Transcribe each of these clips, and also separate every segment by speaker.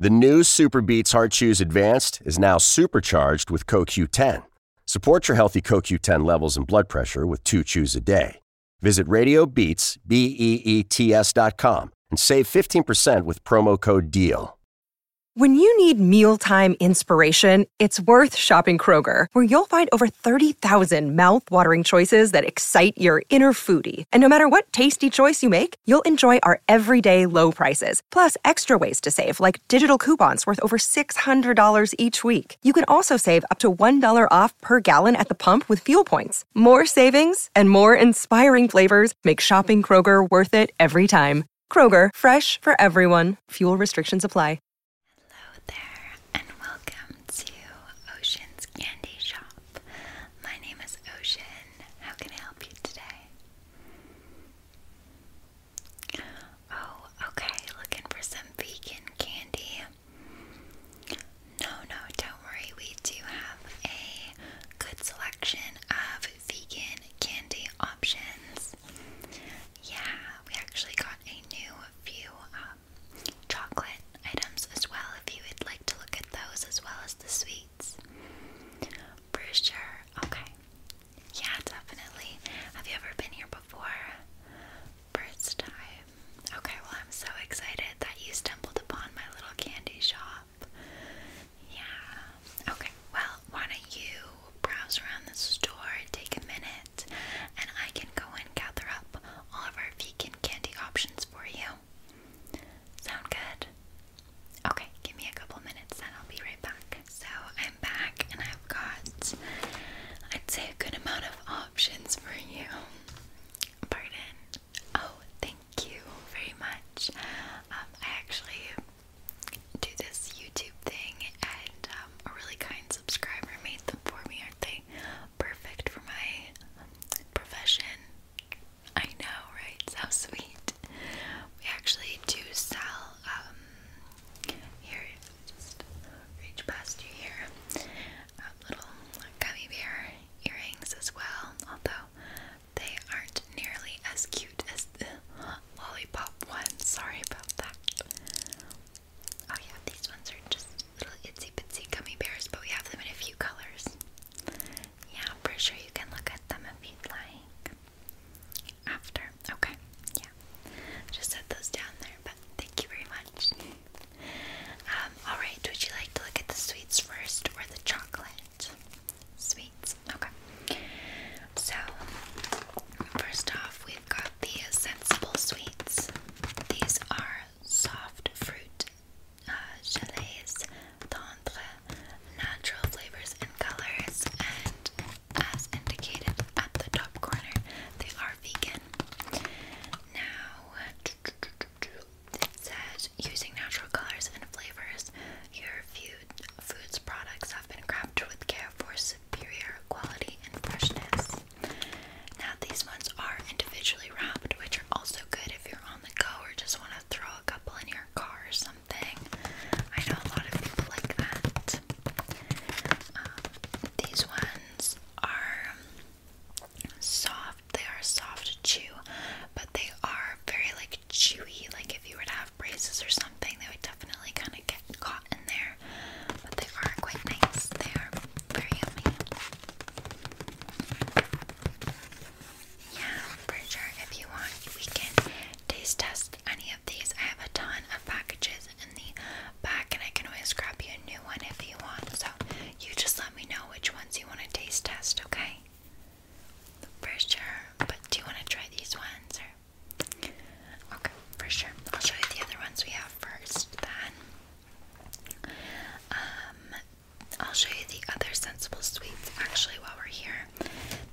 Speaker 1: The new Super Beats Heart Chews Advanced is now supercharged with CoQ10. Support your healthy CoQ10 levels and blood pressure with two chews a day. Visit RadioBeats, B-E-E-T-S dot com and save 15% with promo code DEAL.
Speaker 2: When you need mealtime inspiration, it's worth shopping Kroger, where you'll find over 30,000 mouth-watering choices that excite your inner foodie. And no matter what tasty choice you make, you'll enjoy our everyday low prices, plus extra ways to save, like digital coupons worth over $600 each week. You can also save up to $1 off per gallon at the pump with fuel points. More savings and more inspiring flavors make shopping Kroger worth it every time. Kroger, fresh for everyone. Fuel restrictions apply. Hello there, and
Speaker 1: welcome to Ocean's Candy Shop. My name is Ocean. How can I help you today? Oh, okay. Looking for some vegan candy. No, no, don't worry. We do have a good selection of vegan candy options. Yeah, we actually got a new few um, chocolate items as well if you would like to look at those as well as the sweet. For sure. Okay. Yeah, definitely. Have you ever been here before? First time. Okay, well, I'm so excited that you stumbled upon my little candy shop. Yeah. Okay, well, why don't you browse around the store, take a minute, and I can go and gather up all of our vegan candy options for you. Sound good? Okay, give me a couple minutes and I'll be right back. So I'm back and I've got, I'd say, a good amount of options for you. Pardon. Oh, thank you very much. Um, I actually do this YouTube thing, and um, a really kind subscriber made them for me. are they perfect for my profession? I know, right? So sweet. We actually do sell, um, here, just reach past you here, um, little gummy bear earrings as well, although they aren't nearly as cute as the lollipop ones. Sorry about that. Oh, yeah, these ones are just little itsy bitsy gummy bears, but we have them in a few colors. Yeah, I'm pretty sure you can look at them if you'd like. After. Okay. Yeah. Just set those down there, but thank you very much. Um, alright, would you like to look at the sweets first or the chocolate? Sweets. Okay. So first off we've got the sensible sweets. These are soft fruit uh, chalets, natural flavors and colors, and as indicated at the top corner, they are vegan. Now, it says using natural colors and flavors, your food, food's products have been crafted with care for superior quality and freshness. Now, these ones are individually wrapped, which are also good if you're on the go or just want to throw a couple in your car or something. I know a lot of people like that. Um, these ones are soft. They are soft chew, but they are very like chewy. Like if you were to have braces or something, they would definitely kind of get caught in there. But they are quite nice. They are very yummy. Yeah, for sure. If you want, we can taste test any of these. I have a ton of packages in the back, and I can always grab you a new one if you want. So you just let me know which ones you want to taste test, okay? For sure. But do you want to try these ones? Or? Okay, for sure. I'll show you the other ones we have first then. Um, I'll show you the other Sensible Sweets actually while we're here.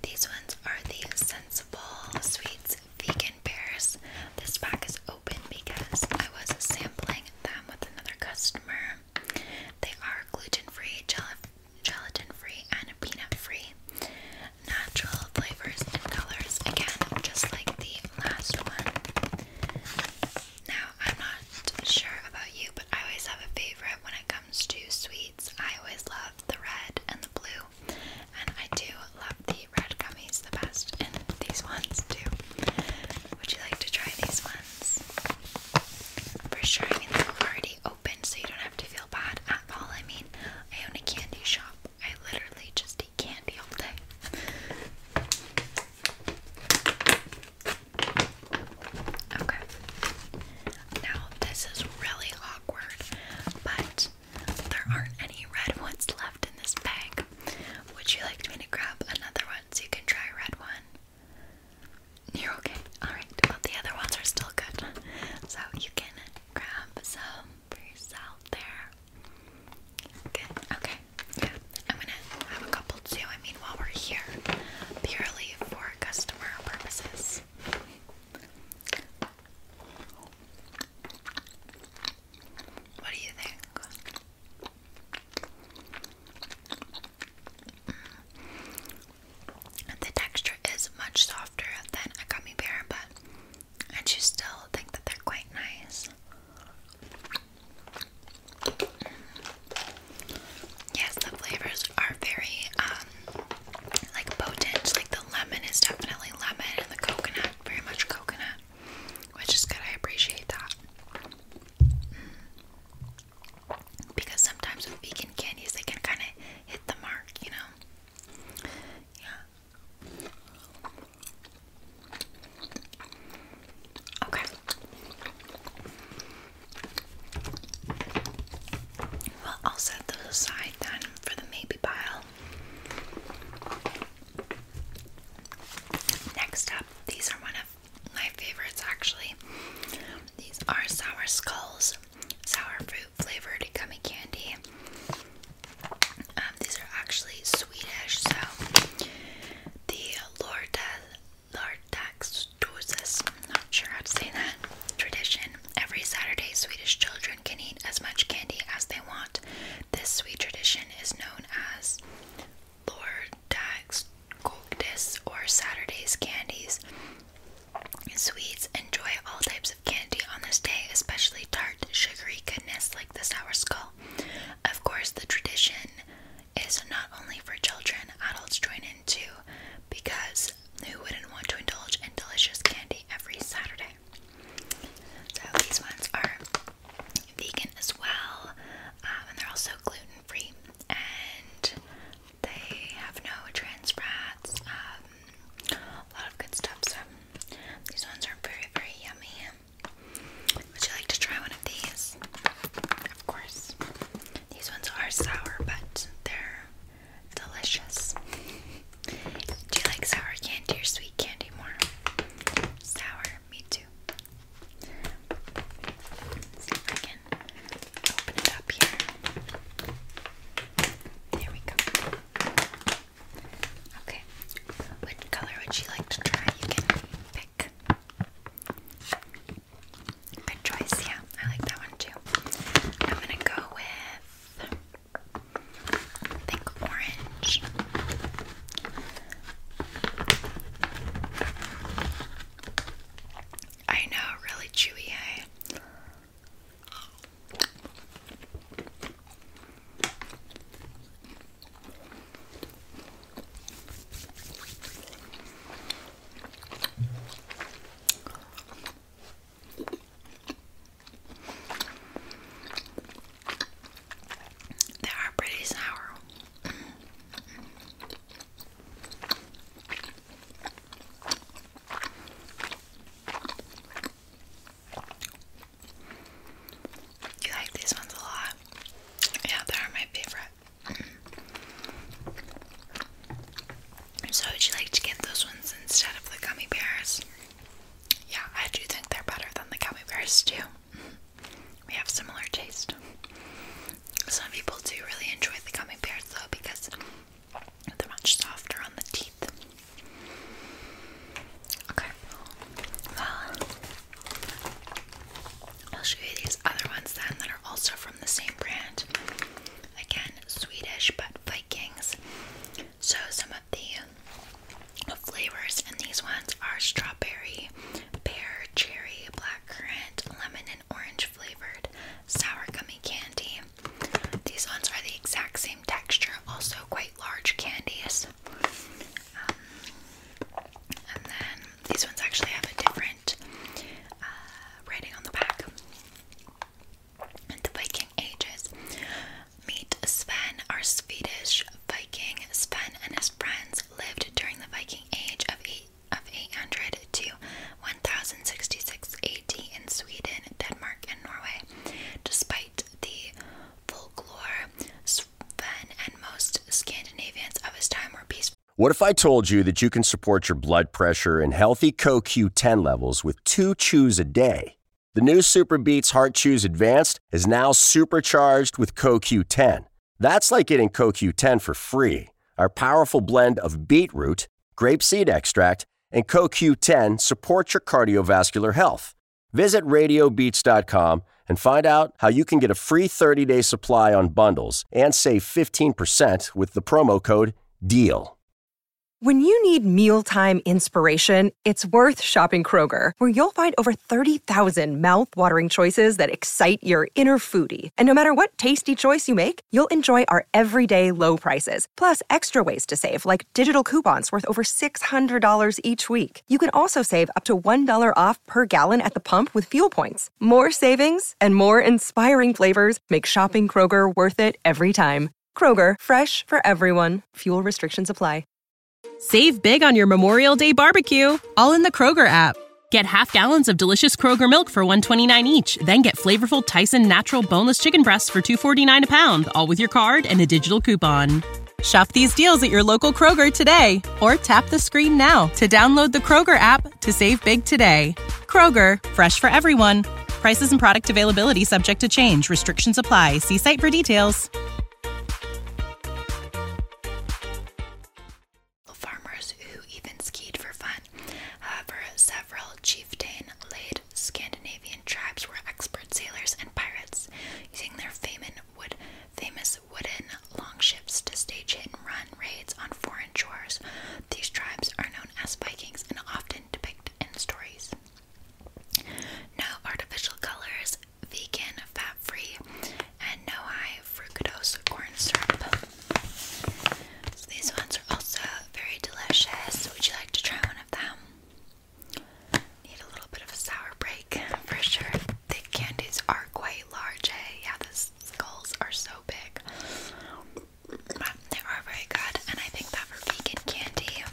Speaker 1: These ones are the Sensible Sweets Vegan Pears. This pack is open because I was sampling them with another customer. They are gluten free, gel gelatin free, and peanut free. Natural flavors and colors, again, just like the last one. Now, I'm not sure about you, but I always have a favorite when it comes to sweets. I always love the red and the blue, and I do love the red gummies the best, and these ones too. Would you like to try these ones? For sure, I mean, they're already open, so you don't have to feel bad at all. I mean, I own a candy shop, I literally just eat candy all day. Okay. Now, this is really awkward, but there aren't any red ones left in this bag. Would you like me to grab another one so you can try a red one? You're okay. Alright, the other ones are still good. So you can grab some for yourself there. Good. Okay. Yeah, I'm gonna have a couple too, I mean, while we're here, purely for customer purposes. What do you think? Mm. The texture is much softer than a gummy bear, but I just still think that they're quite nice. Yes, the flavors are very um like potent. Like the lemon is definitely lemon and the coconut, very much coconut. Which is good, I appreciate that. Mm. Because sometimes with vegan candies they can kinda hit the mark, you know. Yeah. Okay. Well, I'll set those aside then for the maybe pile. Next up, these are one of my favorites actually. These are Sour Skulls, sour fruit flavored gummy candy. Um, these are actually sweetish, so the Lorda Lartagsdoses, not sure how to say that, tradition. Every Saturday, Swedish children can eat as much candy as they want. This sweet tradition is known as Lordagsgodis or Saturday's Candies. Swedes enjoy all types of candy on this day, especially tart, sugary goodness like the sour skull. Of course, the tradition is not only for children, adults join in too, because who wouldn't want to indulge in delicious candy every Saturday? So these ones are vegan as well, um, and they're also gluten free, and they have no trans fats. Um, a lot of good stuff. So these ones are very, very yummy. Would you like to try one of these? Of course. These ones are sour, but they're delicious. Do you like sour candy or sweet candy more? Sour, me too. see if I can open it up here. There we go. Okay. What color would you like to try? You can pick. Good choice, yeah. I like that one too. I'm gonna go with think orange. I know, really chewy, eh? They are pretty sour. You like these ones a lot? Yeah, they're my favorite. So would you like to get those ones instead of the gummy bears? Yeah, I do think they're better than the gummy bears too. We have similar taste. Some people do really enjoy the gummy bears though because they're much softer on the teeth. Okay. I'll show you these other ones then that are also from the same brand. Again, Swedish but Vikings. So some of the flavors in these ones are strawberry, pear, cherry, black currant, lemon, and orange flavored sour gummy candy. These ones are the exact same texture, also quite large candies. Um, and then these ones actually have a different uh, writing on the back. The Viking Ages. Meet Sven, our Swedish Viking. Sven and his friends lived during the Viking Age of, eight, of 800 to 1066 AD in Sweden, Denmark, and Norway. Despite the folklore, Sven and most Scandinavians of his time were peaceful what if I told you that you can support your blood pressure and healthy CoQ10 levels with two chews a day? The new Super Heart Chews Advanced is now supercharged with CoQ10. That's like getting CoQ10 for free. Our powerful blend of beetroot, grape seed extract, and CoQ10 support your cardiovascular health. Visit radiobeats.com and find out how you can get a free 30 day supply on bundles and save 15% with the promo code DEAL.
Speaker 2: When you need mealtime inspiration, it's worth shopping Kroger, where you'll find over 30,000 mouth-watering choices that excite your inner foodie. And no matter what tasty choice you make, you'll enjoy our everyday low prices, plus extra ways to save, like digital coupons worth over $600 each week. You can also save up to $1 off per gallon at the pump with fuel points more savings and more inspiring flavors make shopping Kroger worth it every time. Kroger, fresh for everyone. Fuel restriction supply. Save big on your Memorial Day barbecue, all in the Kroger app. Get half gallons of delicious Kroger milk for 129 each, then get flavorful Tyson natural boneless chicken breasts for 249 a pound, all with your card and a digital coupon. Shop these deals at your local Kroger today or tap the screen now to download the Kroger app to save big today. Kroger, fresh for everyone. Prices and product availability subject to change. Restrictions apply. See site for details.
Speaker 1: Farmers who even skied for fun. However, uh, several chieftain laid Scandinavian tribes were expert sailors and pirates, using their famous wood famous wooden longships to stage hit and run raids on foreign shores. These tribes are known as Vikings and often depicted in stories. No artificial colors, vegan, fat free, and no high fructose corn syrup. these ones are also very delicious. Would you like to try one of them? Need a little bit of a sour break for sure the candies are quite large. Eh? Yeah, the skulls are so big. they are very good, and I think that for vegan candy,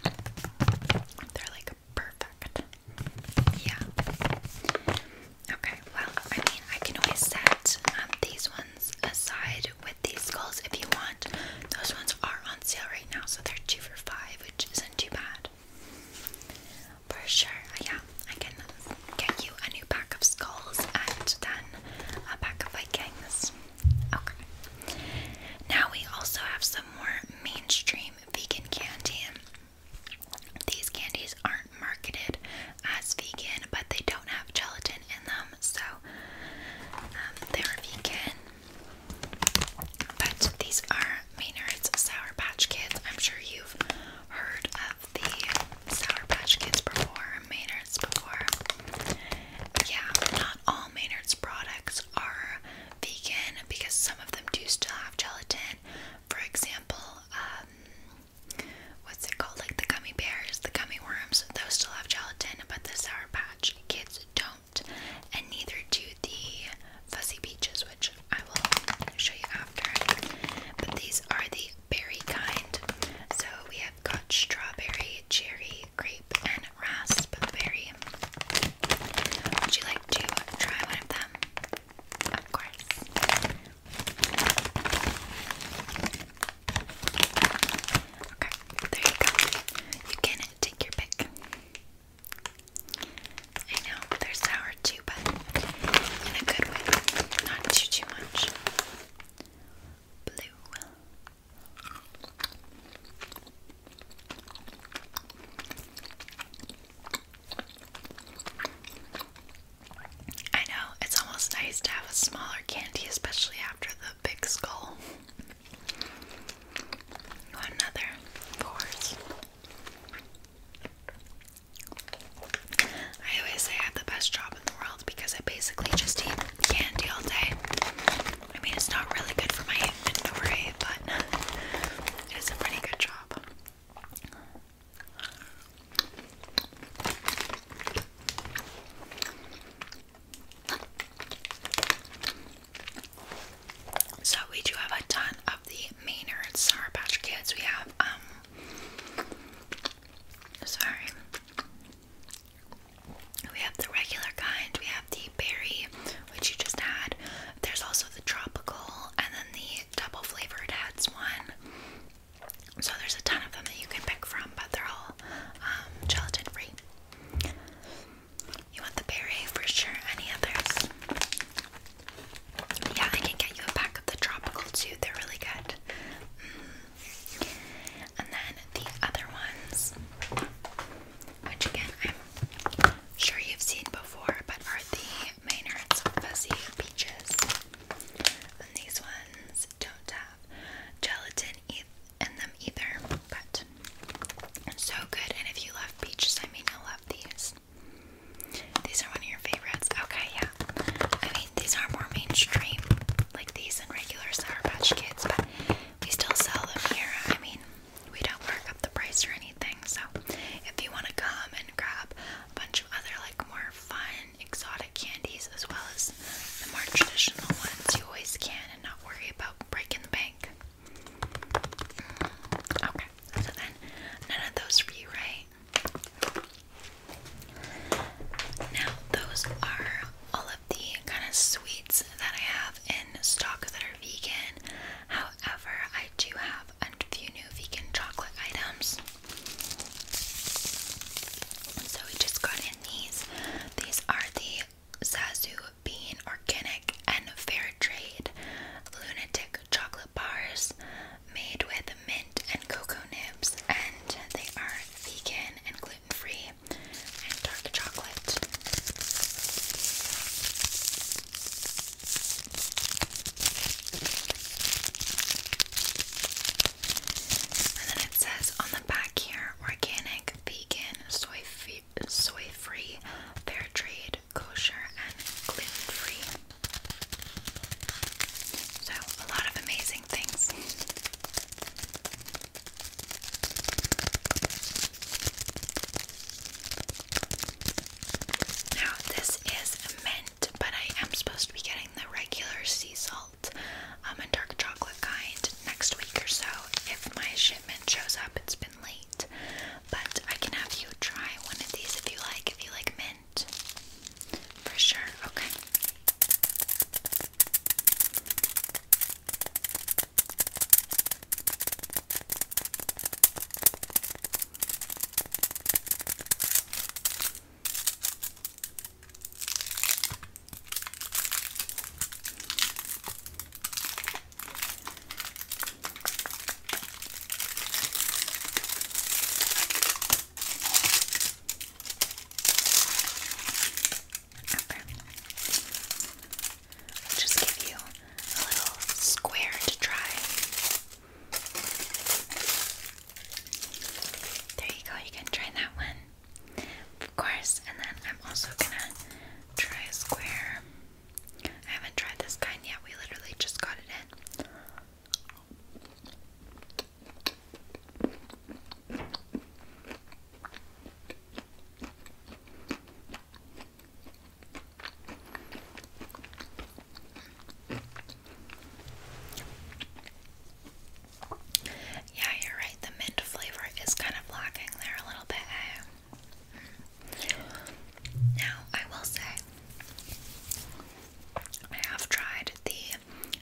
Speaker 1: they're like perfect. Yeah. Okay, well, I mean, I can always set um, these ones aside with these skulls if you want. Those ones are on sale right now, so they're two for five, which isn't too bad. For sure, yeah, I can get you a new pack of skulls and then a pack of Vikings. Okay. Now we also have some more mainstream vegan candy. These candies aren't marketed as vegan, but they don't have gelatin in them, so um, they're vegan. But these are Maynard's Sour Patch Kids. I'm sure you've heard of have the Sour Patch Kids before, Maynard's before. Yeah, not all Maynard's products are vegan because some of them do still have gelatin. For example, um, what's it called? Like the gummy bears, the gummy worms, those still have gelatin, but the Sour Patch Kids don't. And neither do the Fuzzy Peaches, I will show you after. But these are the berry kind. So we have got strawberry, cherry, grape, and raspberry. Would you like to try one of them? Of course. Okay, there you go. You can take your pick. I know they're sour too, but in a good way, not too too much. Blue. I know it's almost nice to have a smaller candy, especially after the big skull. Another, of I always say I have the best job in the world because I basically just eat candy all day. I mean, it's not really good for my inventory, but it is a pretty good job. So, we do have a ton of the Maynard Sour Patch Kids. We have, um, sorry, we have the regular kind, we have the berry, which you just had. There's also the tropical, and then the double flavored heads one. So there's a ton of them that you can pick from, but they're all um, gelatin free. You want the berry for sure. Any others? Yeah, I can get you a pack of the tropical too. They're really good. Mm. And then the other ones, which again I'm sure you've seen before, but are the Maynard's Fuzzy Peaches. And these ones don't have gelatin in them either, but so good. And if you love peaches, I mean, you love these. These are one of your favorites. Okay, yeah. I mean, these are more mainstream, like these and regular Sour Patch Kids, but we still sell them here. I mean, we don't mark up the price or anything, so if you want to come and grab a bunch of other, like, more fun, exotic candies as well as the more traditional ones, you always can and not worry about breaking the bank. Mm, okay, so then none of those for you, right? Now, those are all of the kind of sweets that I have in stock that are vegan. However, I do have a few new vegan chocolate items. So we just got in these. These are the Sazu Bean Organic and Fair Trade Lunatic chocolate bars made with mint and cocoa nibs, and they are vegan and gluten free and dark chocolate. And then it says on the back here organic, vegan, soy free, soy free, fair trade, kosher and gluten-free. So, a lot of amazing things. Now, this is mint, but I am supposed to be getting the regular sea salt um, dark chocolate kind next week or so. If my shipment shows up, it's been late. But I can have you try one of these if you like. If you like mint for sure. Okay i just give you a little square to try. There you go, you can try that one. Of course, and then I'm also gonna try a square. I haven't tried this kind yet, we literally just got it in. Yeah, you're right. The mint flavor is kind of lacking there a little bit. Now, I will say, I have tried the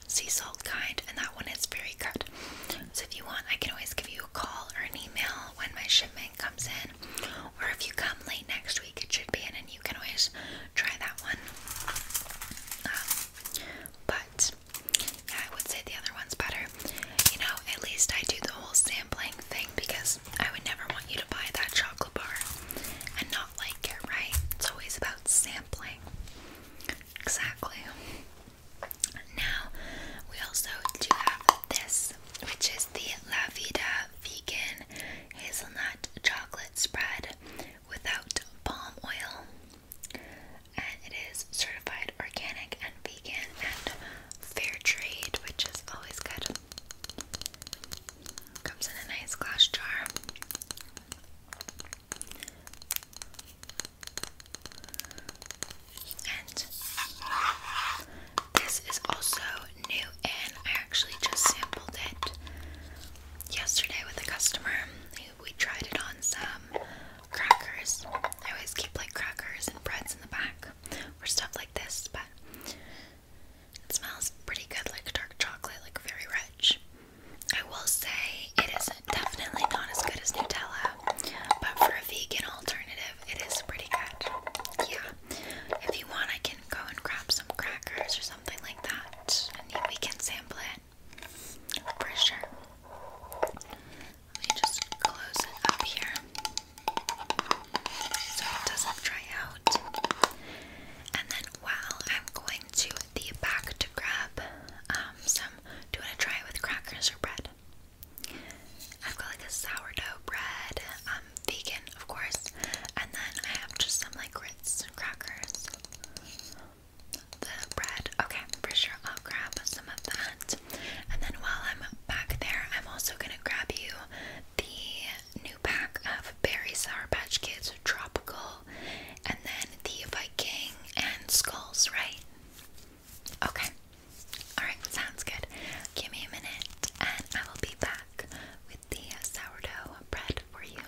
Speaker 1: sea salt kind, and that one is very good. So, if you want, I can always give you a call or an email when my shipment comes in, or if you come late next week, it should be in, and you can always try that one. Um, but yeah, I would say the other one's better. You know, at least I do the whole sampling thing because I would never want you to buy that chocolate and not like it, right? It's always about sampling. Exactly. Now, we also do have this, which is the La Vegan Hazelnut Chocolate Spread without palm oil. And it is certified organic and vegan and fair trade, which is always good. Comes in a nice glass jar. And this is also new, and I actually just sampled it yesterday with a customer. We tried it on some crackers. I always keep like crackers and breads in the back, or stuff like this, but it smells pretty good, like dark chocolate, like very rich. I will say it is definitely not as good as Nutella, but for a vegan alternative, it is pretty good. Yeah. If you want, I can go and grab some crackers or something like that, and we can sample it for sure. Let me just close it up here so it doesn't dry out. And then while I'm going to the back to grab um, some, do you want to try it with crackers or bread? I've got like a sourdough bread, um, vegan of course, and then I have just some like grits and crackers. The bread, okay, for sure I'll grab some of that. And then while I'm back there, I'm also gonna grab you the new pack of Berry Sour Patch Kids Tropical, and then the Viking and Skulls, right? Okay. Alright, sounds good. Give me a minute and I will be back with the
Speaker 2: sourdough bread for you.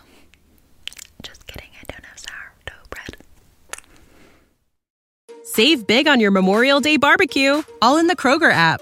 Speaker 2: Just kidding, I don't have sourdough bread. Save big on your Memorial Day barbecue, all in the Kroger app.